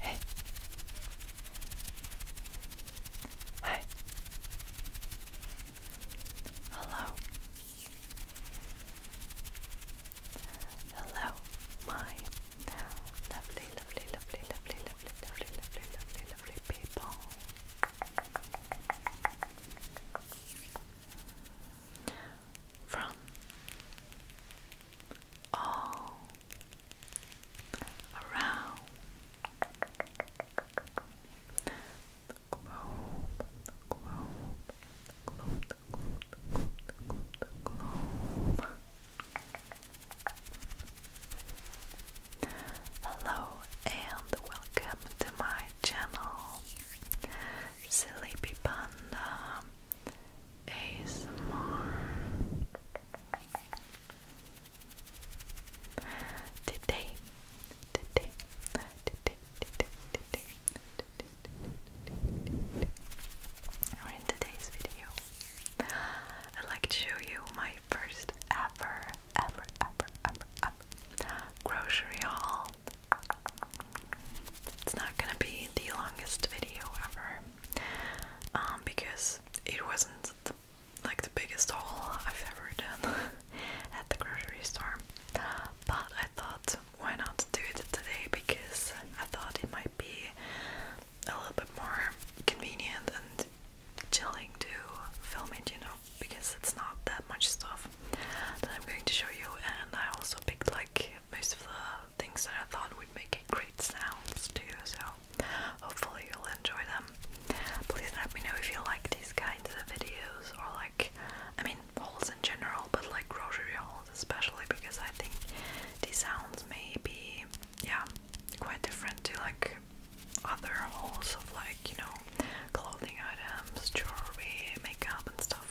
Hey. Hi. Hello. Hello, my lovely, lovely, lovely, lovely, lovely, lovely, lovely, lovely people from all around the globe, Hello and welcome to my channel. Sleepy Panda ASMR. Today, today, today, today, today, today, or in today's video, I'd like to show you my first ever, ever, ever, ever, ever grocery haul it's not gonna be the longest video ever, um, because it wasn't like the biggest haul I've ever done at the grocery store. But I thought, why not do it today? Because I thought it might be a little bit more convenient and chilling to film it, you know, because it's not that much stuff that I'm going to show you and I also picked like most of the things that I thought would make a great sounds too so hopefully you'll enjoy them. Please let me know if you like these kinds of videos or like I mean hauls in general but like grocery hauls especially because I think these sounds may be yeah quite different to like other hauls of like you know clothing items, jewelry, makeup and stuff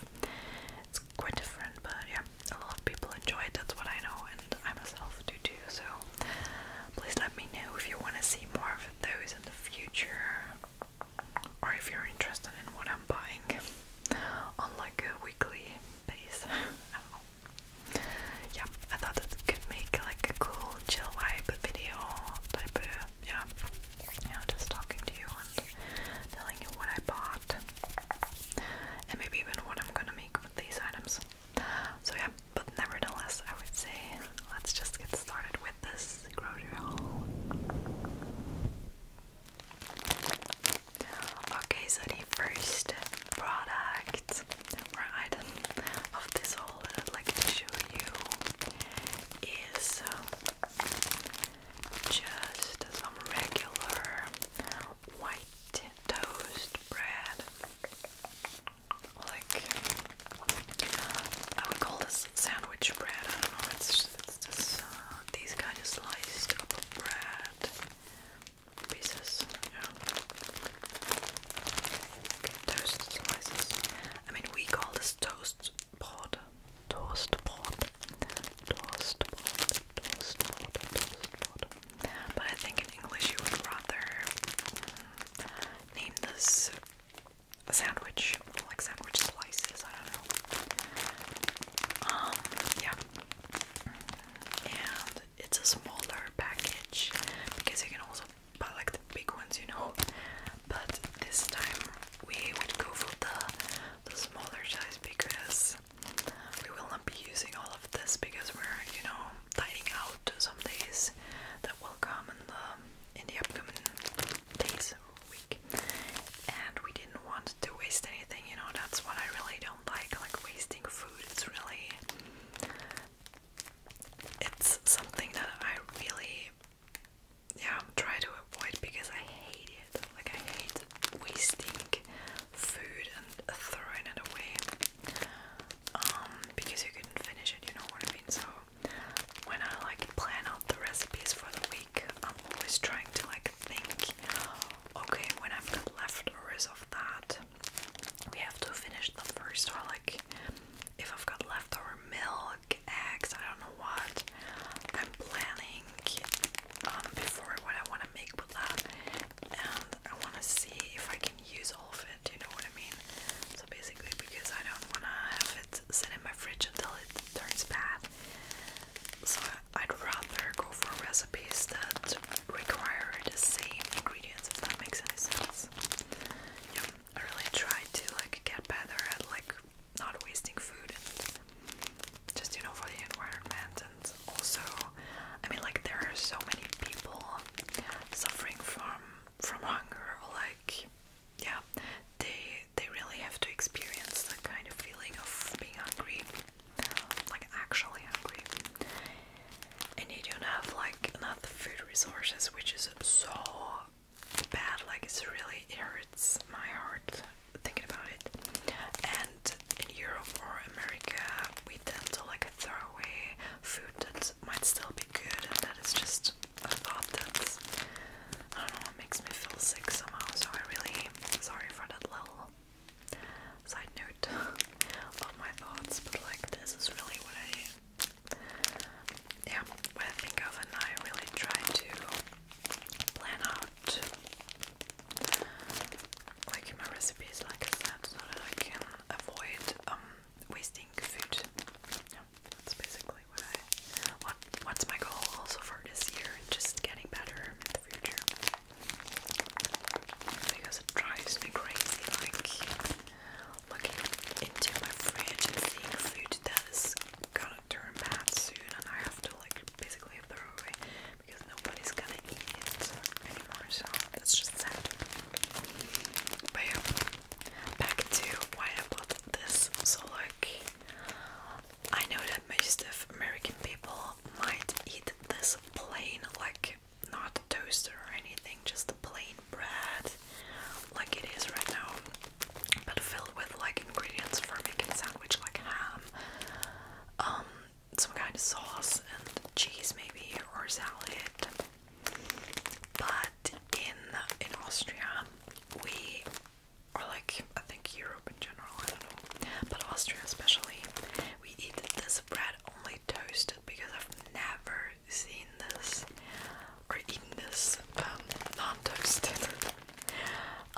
it's quite different, but yeah, a lot of people enjoy it. That's what I know, and I myself do too. So please let me know if you want to see more of those in the future, or if you're interested in what I'm buying on like a weekly basis. Yeah, I thought that could make like a cool chill vibe video type yeah, yeah, just talking to you and telling you what I bought, and maybe even what I'm gonna make with these items. So yeah, but nevertheless, I would say let's just get started with this grocery haul. Okay, so the first product or item of this haul that i show you is um, just some regular white toast bread. Like, I would call this sandwich bread. I don't know, it's just, uh, these kind of sliced up bread pieces. Yeah. Toast slices. I mean, we call this toast Pot Brot, Toastbrot, Toastbrot, Toastbrot, pot. But I think in English you would rather mm, name this sandwich, like sandwich slices, I don't know. Um, yeah. And it's a smaller package because you can also buy like the big ones, you know. But this time we would go for the, the smaller size because we will not be using all of this because we're, you know, dining out some days that will come in the, in the upcoming days or week. And we didn't want to waste anything, you know, that's what I really don't like, like wasting food. It's really it's something that I really yeah, I'm trying to avoid because I hate it. Like I hate wasting food and throwing it away. Um, because you couldn't finish it, you know what I mean? So when I like plan out the recipes for the week, I'm always trying to like think, okay, when I've got leftovers of that, we have to finish the first or like if I've got leftover milk, eggs, I don't know what. I'm planning um, before what I want to make with that, and I want to see if I can use all of it. You know what I mean? So basically, because I don't want to have it sit in my fridge until it turns bad, so I'd rather go for recipes that require the same ingredients. If that makes any sense. I really try to like get better at like not wasting food just you know for the environment and also I mean like there are so many people suffering from from hunger or like yeah they they really have to experience that kind of feeling of being hungry like actually hungry and you don't have like enough food resources which is so bad, like it's really hurts my heart thinking about it. And in Europe or America, we tend to like throw away food that might still be good, and that is just a thought that I don't know, what makes me feel sick somehow. So I really sorry for that little side note of my thoughts, but like this is really what I yeah, what I think of, and I really try to plan out like my recipes, like I so that I can avoid um, wasting food. Yeah, that's basically what I what what's my goal also for this year, just getting better in the future. Because it drives me crazy, like looking into my fridge and seeing food that turn bad soon and I have to like basically throw away because nobody's gonna eat it anymore, so that's just sad. But back to why I bought this. So like I know that most of American people might eat this plain, like not toaster or anything, just plain bread like it is right now but filled with like ingredients for making sandwich like ham, um, some kind of sauce and cheese maybe or salad. But in in Austria we are like I think Europe in general, I don't know. But Austria especially, we eat this bread only toasted because I've never seen this i or eating this um, non-toasted.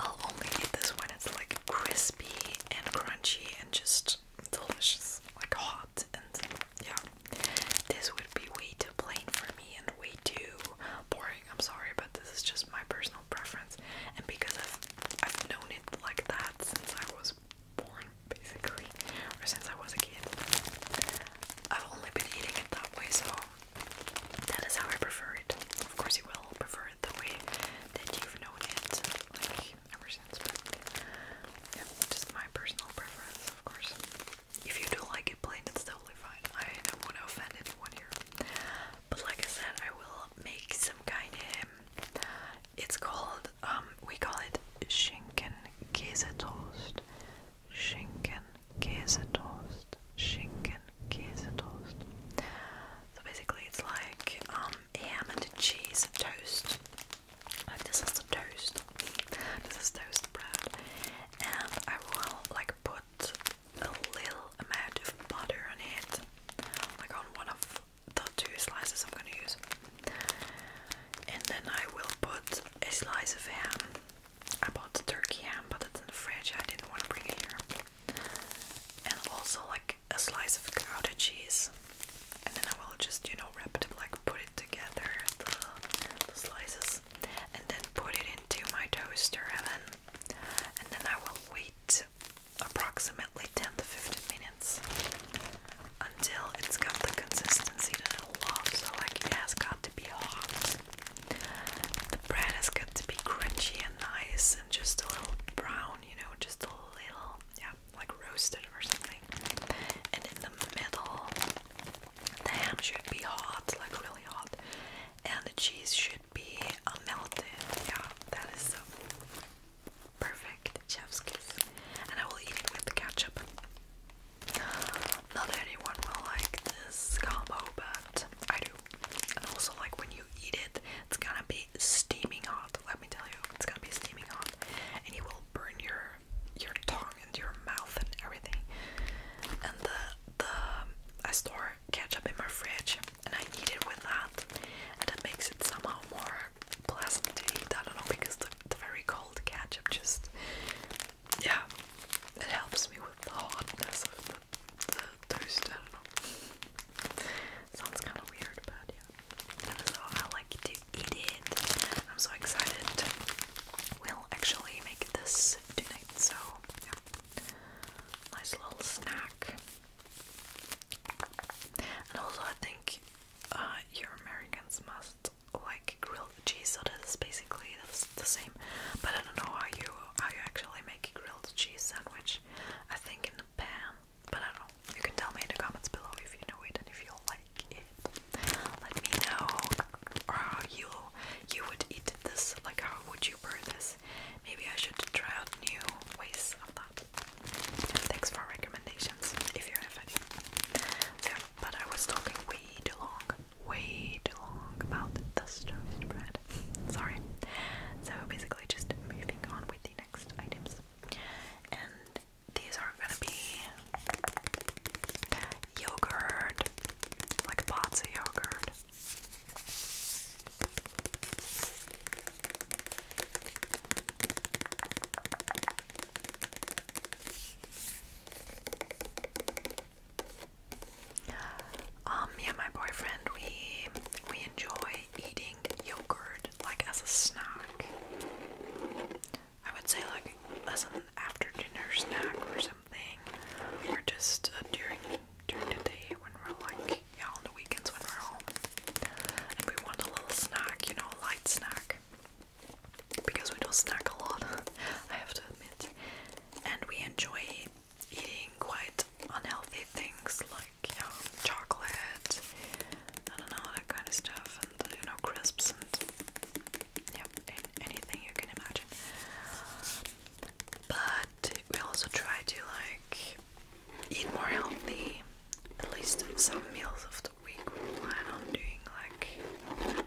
I'll only eat this when it's like crispy and crunchy and just delicious, like hot and yeah. This would be way too plain for me and way too boring. I'm sorry, but this is just my personal preference, and because I've I've known it like that since I was born, basically, or since I was a kid. I've only been eating it that way, so that is how I prefer it. Of course, you will prefer it the way that you've known it, like ever since. yeah, just my personal preference, of course. If you do like it plain, it's totally fine. I don't want to offend anyone here. But like I said, I will make some kind of. It's called. Um, we call it shinken Käse toast. Schinken Käsetoast. Schinken Käsetoast. So basically, it's like um, ham and cheese toast. Like this is the toast. This is toast bread, and I will like put a little amount of butter on it, like got one of the two slices I'm gonna use, and then I will put a slice of ham I bought the turkey ham, but it's in the fridge. I didn't want to bring it here. And also like a slice of gouda cheese. And then I will just, you know, wrap it like put it together, the slices, and then put it into my toaster oven. And then I will wait approximately 10 to 15 minutes until it's got the consistency that I love. So like it has got to be hot. The bread has got to be crunchy and nice and just a little brown, you know, just a little, yeah, like roasted or something. And in the middle, the ham should be hot, like really hot, and the cheese should be uh, melted. Yeah, that is so perfect chef's kiss. And I will eat it with ketchup. Not anyone will like this combo, but I do. And also, like when you eat it, it's gonna be steaming hot. Let me tell you, it's gonna be steaming hot, and you will burn your your tongue and your mouth and everything. And the the I store ketchup in my fridge, and I eat it with that, and that makes it somehow more pleasant to eat. I don't know because the, the very cold ketchup just yeah, it helps me with the hotness, of the, thirst. I don't know. Sounds kind of weird, but yeah. That is I like to eat it. I'm so excited. We'll actually make this tonight, so Nice little snack. And also, I think uh, your Americans must like grilled cheese, so that's basically the same. But I don't know how you how you actually make a grilled cheese sandwich. I think in the pan, but I don't know. You can tell me in the comments below if you know it and if you like it. Let me know or how you you would eat this. Like how would you burn this? Maybe I should try out new ways of that. Thanks for recommendations if you have any. Yeah, but I was talking way too long way too long about the toast bread. Sorry. So basically, just moving on with the next items, and these are gonna be yogurt, like a pots of yogurt. Um, me and my boyfriend, we we enjoy eating yogurt like as a snack. I would say like as an after dinner snack or something, or just uh, during during the day when we're like yeah on the weekends when we're home and we want a little snack, you know, a light snack because we don't snack a lot. I have to admit, and we enjoy eating quite unhealthy things like you know chocolate, I don't know that kind of stuff, and you know crisps and yeah anything you can imagine. But we also try to like eat more healthy. At least some meals of the week we plan on doing like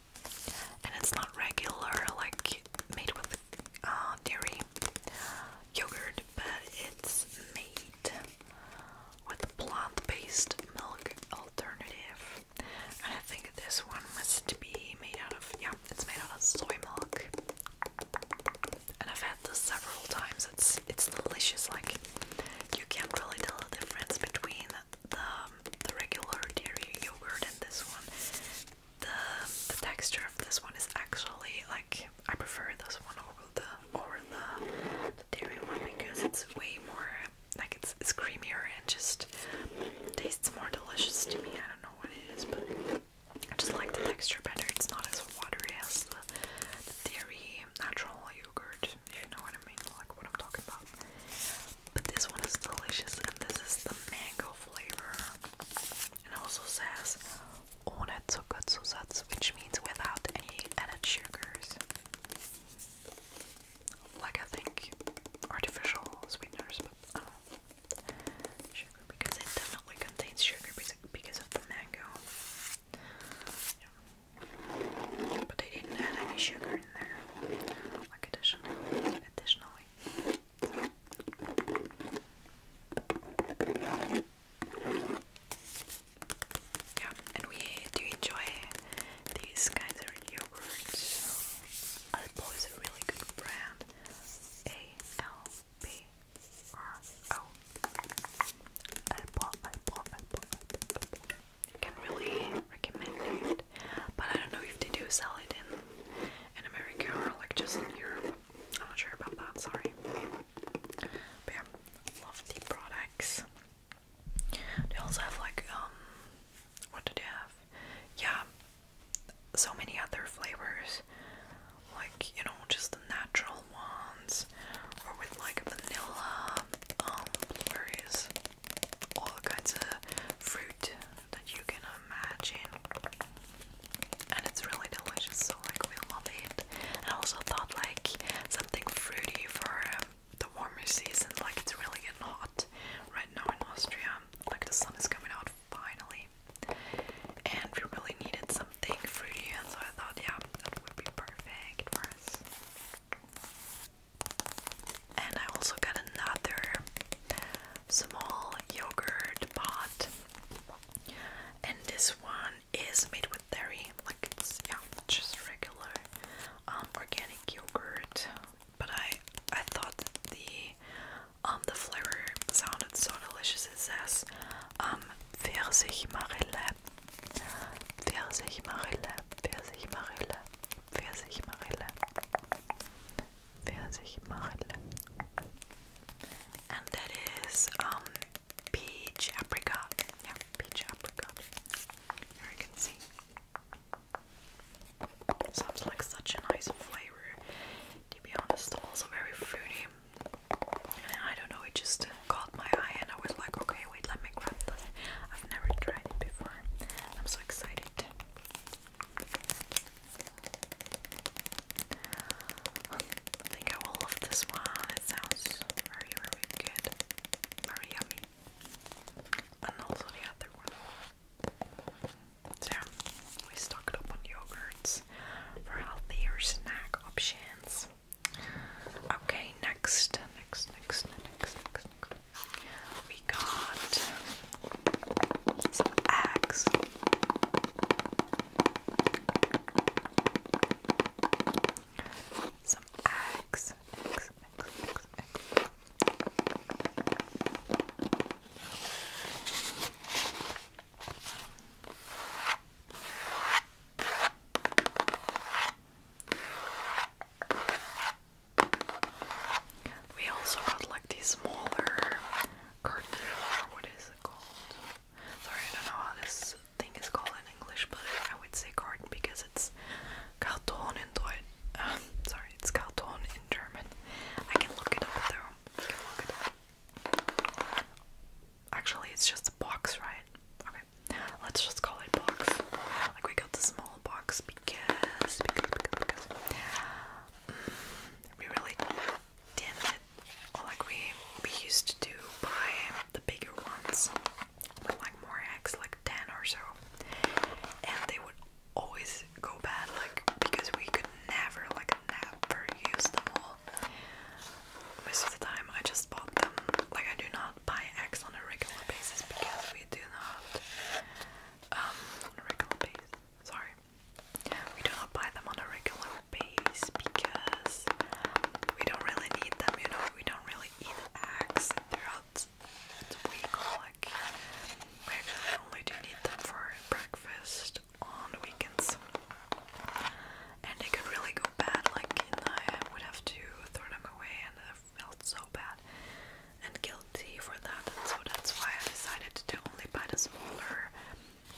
and it's not regular like made with uh, dairy yogurt, but it's made with plant-based milk alternative. And I think this one must be made out of yeah, it's made out of soy milk. And I've had this several times. It's it's delicious. Like you can't really tell the difference between the um, the regular dairy yogurt and this one, the the texture of this one is actually like I prefer this one over the over the, dairy one because it's way more like it's creamier and just tastes more delicious to me. I don't know what it is, but I just like the texture better. It's not as watery as the dairy natural yogurt you know what I mean, like what I'm talking about. But this one is delicious, and this is the mango flavor. And also says ohne Zuckerzusatz, which means without any added sugars. Like I think artificial sweeteners, but I don't know. because it definitely contains sugar because of the mango. But they didn't add any sugar in there, like additional, additionally. Yeah, and we do enjoy these kinds of yogurts. Alpo is a really good brand. Alpo, Alpo, Alpo, Alpo. I can really recommend it. But I don't know if they do sell it in in America or like just in Europe. I'm not sure about that, sorry. But yeah, love the products. They also have like um what do they have? Yeah, so many other flavors. Like, you know, just the natural ones or with like vanilla um blurries all kinds of fruit that you can imagine. And it's really delicious, so like we love it. And I also thought like something fruity for um, the warmer season, like it's really getting hot right now in Austria. Like the sun is coming out finally. And we really needed something fruity, and so I thought, yeah, that would be perfect for us. And I also got another small yogurt pot. And this one is made with dairy, like it's yeah, just regular um, organic yogurt. But I I thought the um the flavor sounded so delicious. It says um Pfirsich Versich Pfirsichmarille, Versich Pfirsichmarille. And that is um peach apricot. Yeah, peach apricot. Here you can see. Sounds like such a nice flavor. To be honest, also very fruity. I don't know, it just caught my eye, and I was like, okay, wait, let me I've never tried it before. I'm so excited. I think I will love this one. It sounds very, very good. Very yummy. And also the other one. So, we stocked up on yogurts for healthier snack options. Okay, next, next, next, next, next, we got some eggs. Some eggs. We also got like these smaller curtain or what is it called? Sorry, I don't know how this thing is called in English, but I would say carton because it's Karton in um, sorry, it's Karton in German. I can look it up though. Actually, it's just a box, right? Okay let's just call it box. Like we got the small box because because because mm, we really didn't like we we used to buy the bigger ones with like more eggs, like ten or so, and they would always go bad, like because we could never like never use them all. Most of the time, I just bought them. Like I do not buy eggs on a regular basis because we do not um, on a regular basis. Sorry. We do not buy them on a regular basis because we don't really need them, you know, we don't really eat eggs throughout the week like we actually only do need them for breakfast on weekends. And they could really go bad, like, I would have to throw them away felt so bad and guilty for that, and so that's why I decided to only buy the smaller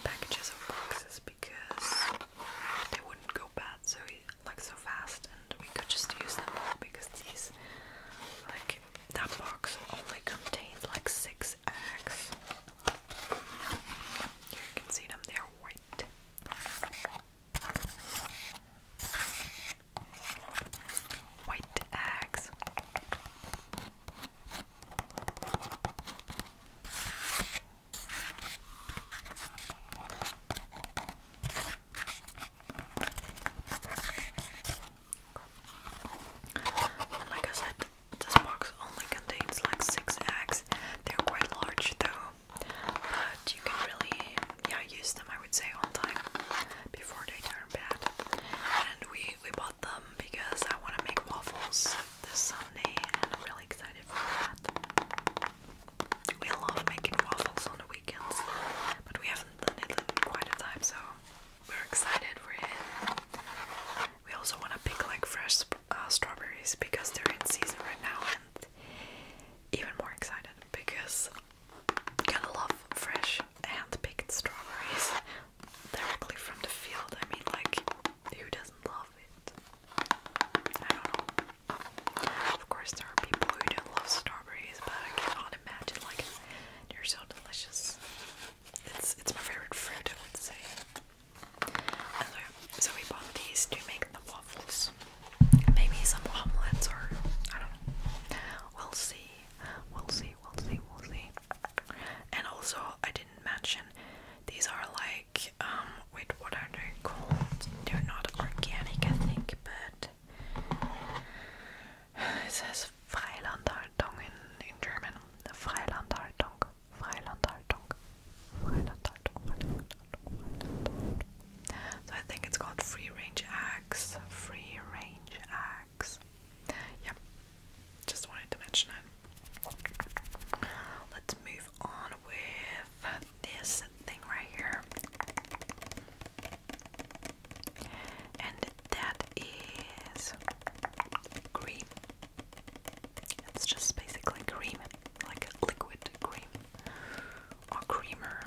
packages of boxes because they wouldn't go bad so like so fast, and we could just use them all because these like that box only contained like six eggs. Here you can see them; they're white. White eggs. Like I said, this box only contains like six eggs. They're quite large though but you can really yeah use them I would say on time before they turn bad. And we we bought them because I want to make waffles this Sunday, and I'm really excited for that. We love making waffles on the weekends, but we haven't done it in quite a time, so we're excited for it. We also want to pick like fresh uh, strawberries because they're in season right now, and even more excited because Gonna love fresh hand-picked strawberries directly from the field. I mean, like, who doesn't love it? I don't know. Oh, of course, there are people who don't love strawberries, but I cannot imagine. Like, they're so delicious. It's it's my favorite fruit, I would say. so we bought these to make the waffles. Maybe some omelets or I don't know. We'll see. We'll see. We'll see. We'll see. And also, I didn't mention these are like um. Wait, what are they called? They're not organic, I think, but it says Freilandhaltung in German. Freilandhaltung. Freilandhaltung. Freilandhaltung. So I think it's called free range eggs. Free range eggs. Yep. Just wanted to mention it. Let's move on with this thing right here. And that is cream. It's just basically cream, like liquid cream or creamer.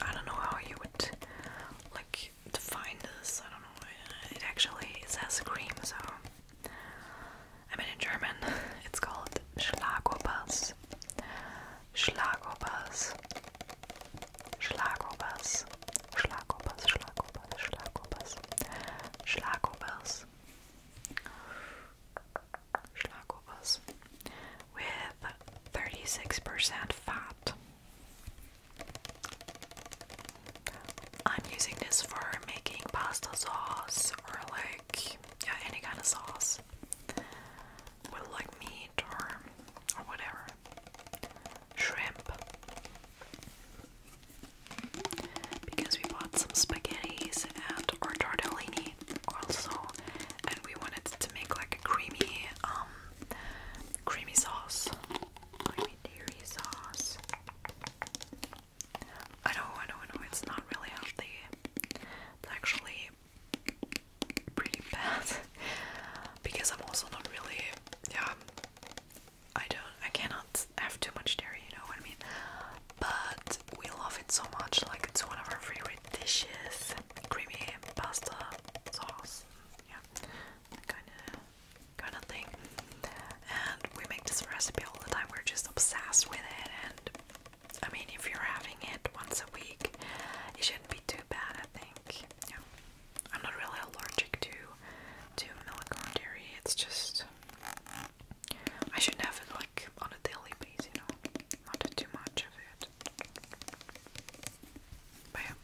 I don't know how you would like define this. I don't know. It actually says cream, so I mean in German it's called Schlagobers. Schlagobers. Schlagobers. Schlagobers. Schlagobers. Schlagobers. Schlagobers. Schlagobers with 36% fat. I'm using this for making pasta sauce or like yeah, any kind of sauce with like meat or or whatever. Shrimp. Because we bought some spaghettis and or tortellini also and we wanted to make like a creamy um creamy sauce. dairy sauce. I know, I know, I know, it's not really healthy. It's actually pretty bad. because I'm also not really yeah I don't I cannot have too much dairy, you know what I mean? But we love it so much, like it's one of our favorite dishes. Creamy pasta sauce. Yeah. Kind of kind of thing. And we make this recipe all the time. We're just obsessed with it and I mean if you're having it once a week, it shouldn't be too bad I think. I'm not really allergic to to milk or dairy, it's just I shouldn't have it like on a daily basis, you know. Not too much of I am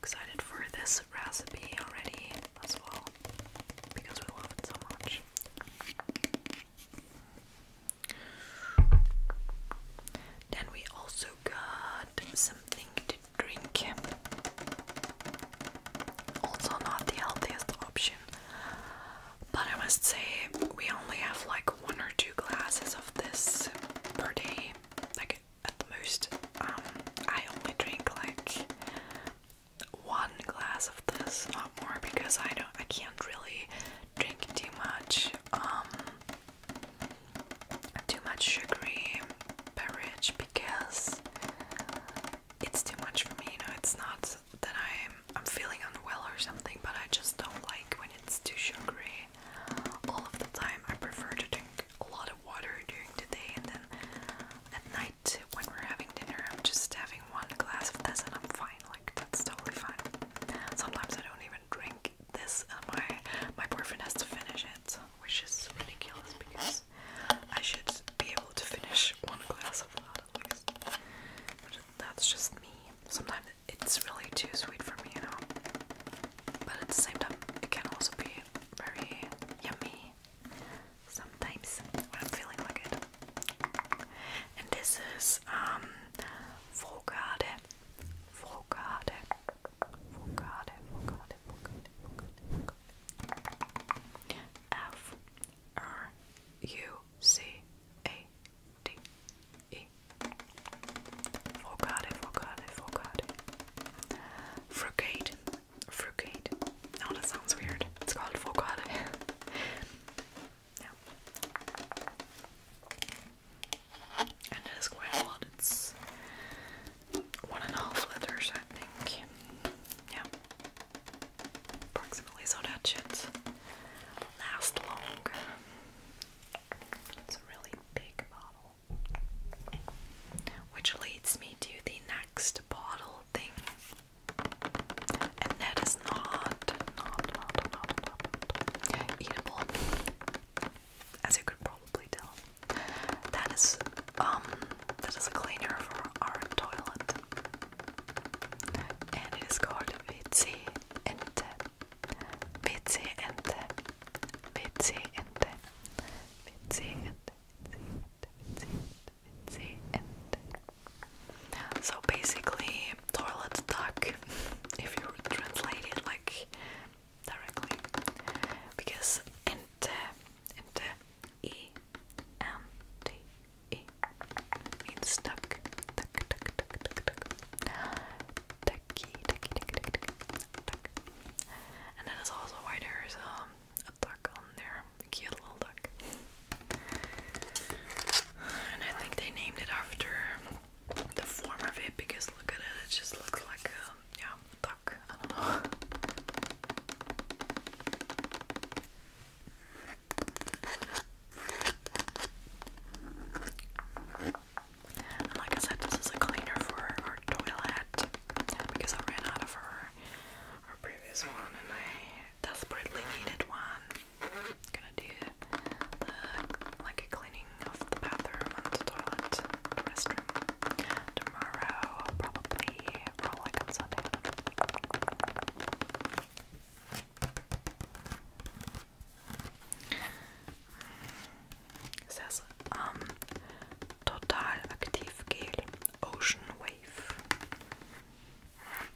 excited for this recipe already as well because we love it so much. Then we also got something to drink. Also, not the healthiest option. But I must say, we only have like one or two glasses of this per day, like at the most. Um, I only drink like one glass of this, not more, because I don't, I can't really drink too much, um, too much sugary beverage because it's too much for me. You know, it's not that I'm I'm feeling unwell or something, but I just don't like when it's too sugary all of the time. I prefer to drink a lot of water during the day and then at night when we're having dinner I'm just having one glass of this and I'm fine. Like that's totally fine. Sometimes I don't even drink this and uh, my my boyfriend has to finish it, which is ridiculous because I should be able to finish one glass of that's just me. Sometimes it's really too sweet for me, you know. But at the same time, it can also be very yummy sometimes when I'm feeling like it. And this is um Vogade. Vogade. Vogade. Vogade. Vogade. Vogade. F R U C A D, E. Frugade, frugade, frugade. Frugade, that sounds weird. It's called frugade. yeah. And it is quite a lot. It's one and a half letters, I think. Yeah approximately so that should last longer. It's a really big bottle. Which leads me to the next bottle thing. And that is not, not, not, not, not eatable. As you could probably tell. That is um that is a cleaner for our toilet and it is called Vitsi Ente. Vitsi Ente. Vitsi Ente. Vitsi Ente. Vitsi Ente. So basically, toilet duck, if you translate it like directly, because Ente, Ente, E, M, T. E means stuck. Tuck, tuck, tuck, tuck, tuck. Tucky, tucky, tucky, tucky, tucky. Tuck. And that is also why there's um, a duck on there. A cute little duck. And I think they named it after the form of it because look at it, it just looks like a um, yeah, duck. I don't know like I said, this is a cleaner for our toilet because I ran out of our, our previous one and I desperately needed one. gonna do like a cleaning of the bathroom and the toilet, restroom tomorrow, probably, or on Sunday. Das heißt, ähm, total active Gel Ocean Wave.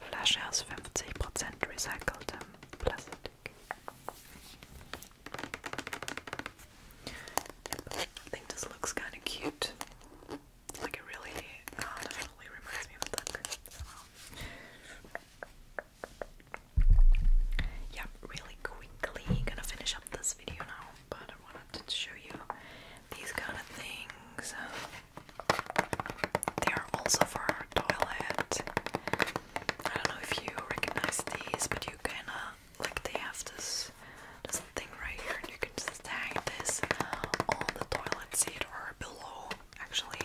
Flasche aus 50% recyceltem um, Plastik. I think this looks kind of cute. Like it really, definitely uh, reminds me of a yeah, really quickly gonna finish up this video now, but I wanted to show you these kind of things. They are also for toilet. I don't know if you recognize these, but you can like they have this this thing right here, and you can just tag this on the toilet seat or below actually.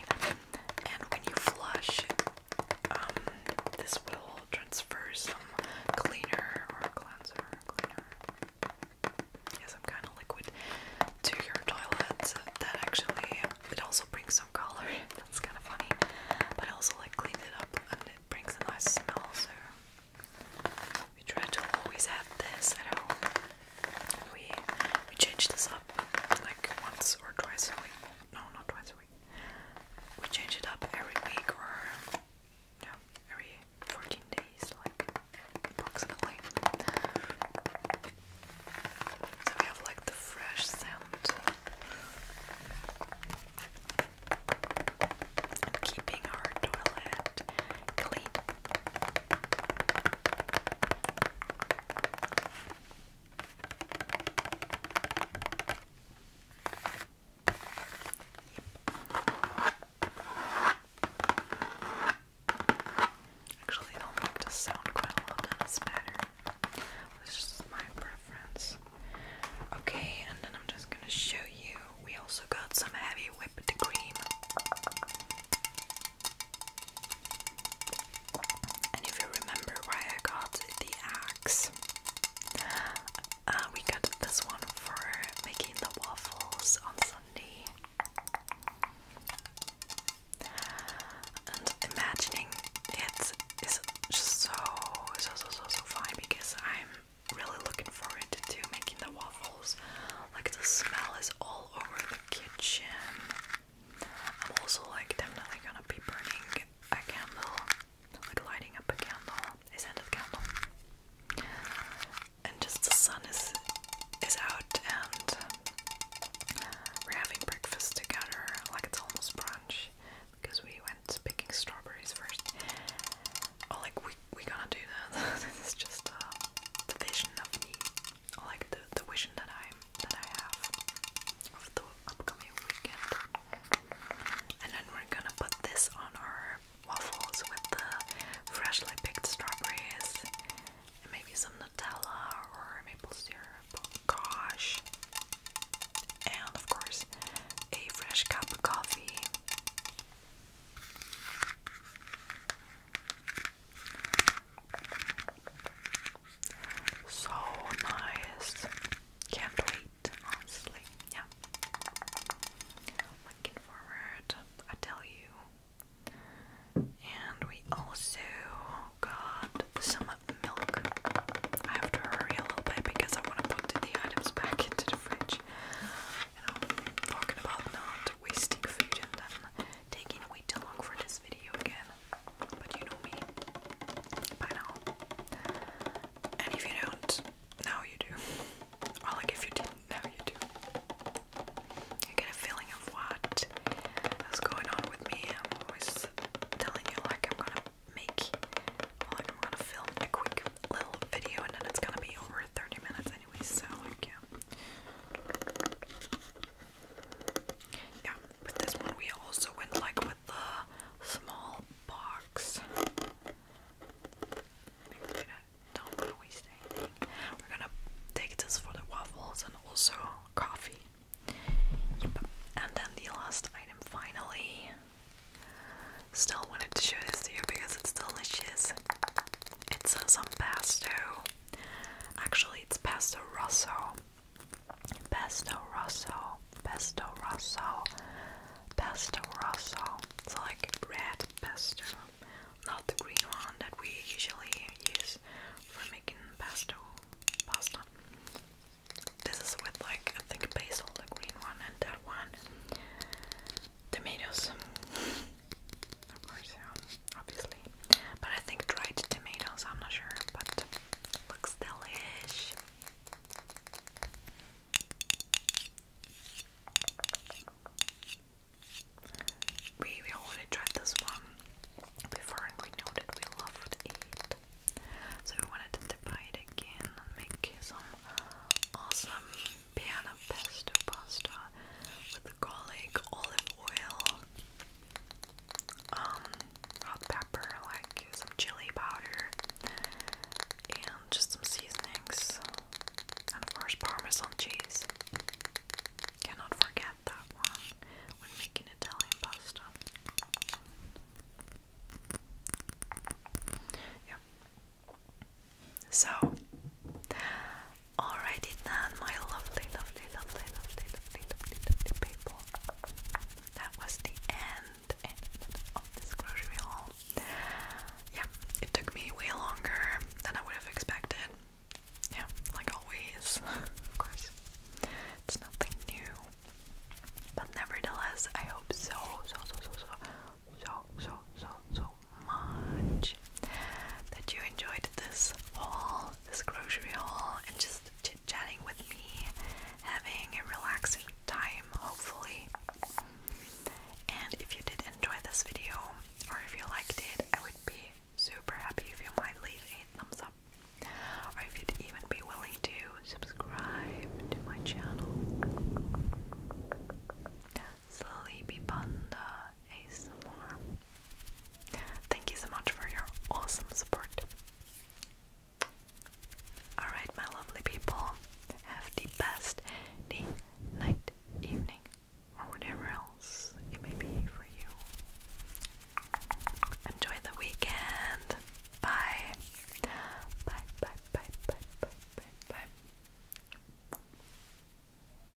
And when you flush, um, this will transfer some cleaner or cleanser, cleaner. Yes, kind of liquid to your toilet. That actually, it also brings some color. That's kind of funny, but I also like clean it up and it brings a nice smell. So we try to always have this at home we we change this up like once or twice a week. No, not twice a week. We change it up every week or yeah, every 14 days, like approximately. So we have like the fresh scent. And keeping our toilet clean. Actually, I don't like quite a lot in this matter. This just my preference. Okay, and then I'm just gonna show you. We also got some heavy whipped cream. And if you remember why I got the axe, uh, we got this one for making the waffles on Sunday. And imagining it is just so, so, so, so, so fun because I'm really looking forward to making the waffles. Like the smell is all over kitchen. I'm also like definitely gonna be burning a candle, like lighting up a candle, a scented candle. And just the sun is is out and having breakfast together, like it's almost brunch because we went picking strawberries first. Oh like we we gonna do that. this is just uh, vision of me like the the vision that I that I have of the upcoming weekend. And then we're gonna put this on our waffles with the freshly picked strawberries maybe some Nutella or maple syrup. Gosh. And of course, a fresh cup of coffee. So nice. Can't wait, honestly. Yeah. Looking forward, I tell you. And we also got some milk. I have to hurry a little bit because I want to put the items back into the fridge. You know, talking about not wasting food and then taking way too long for this video again. But you know me by now. And if you don't, now you do. Or like if you didn't, now you do. You get a feeling of what is going on with me. I'm always telling you like I'm gonna make like I'm gonna film a quick little video and then it's gonna be over 30 minutes anyway, so like yeah. Yeah, with this one we also went like with the small box. don't waste anything. We're gonna take this for the waffles and also coffee. Yep. And then the last item finally. Still wanted to show this to you because it's delicious. It's uh, some pesto. Actually, it's pesto rosso. Pesto rosso. Pesto rosso. Pesto rosso. It's like red pesto, not the green one that we usually use for making pesto pasta. This is with like I think basil, the green one, and that one. Tomatoes obviously. But I think dried tomatoes, I'm not sure, but looks delish. We already tried this one before and we know that we loved it. So we wanted to buy it again and make some awesome piano pesto pasta with garlic, olive oil, um, hot pepper, like some chili powder, and just some seasonings, and of course parmesan cheese. Cannot forget that when making Italian pasta. Yep. So, Alrighty then, my lovely, lovely, lovely, lovely, lovely, lovely, lovely people. That was the end, of this grocery haul. Yeah, it took me way longer than I would have expected. Yeah, like always, of course. It's nothing new. But nevertheless, I hope so, so, so, so, so, so, so, so, much that you enjoyed this haul, this grocery haul, and just chit chatting with me, having a relaxing time, hopefully. And if you did enjoy this video, or if you liked it, I would be super happy if you might leave a thumbs up, or if you'd even be willing to subscribe to my channel. Sleepy Panda ASMR. Thank you so much for your awesome support. Alright, my lovely people, have the best night, evening, or whatever else it may be for you. Enjoy the weekend. Bye, bye, bye, bye, bye, bye, bye.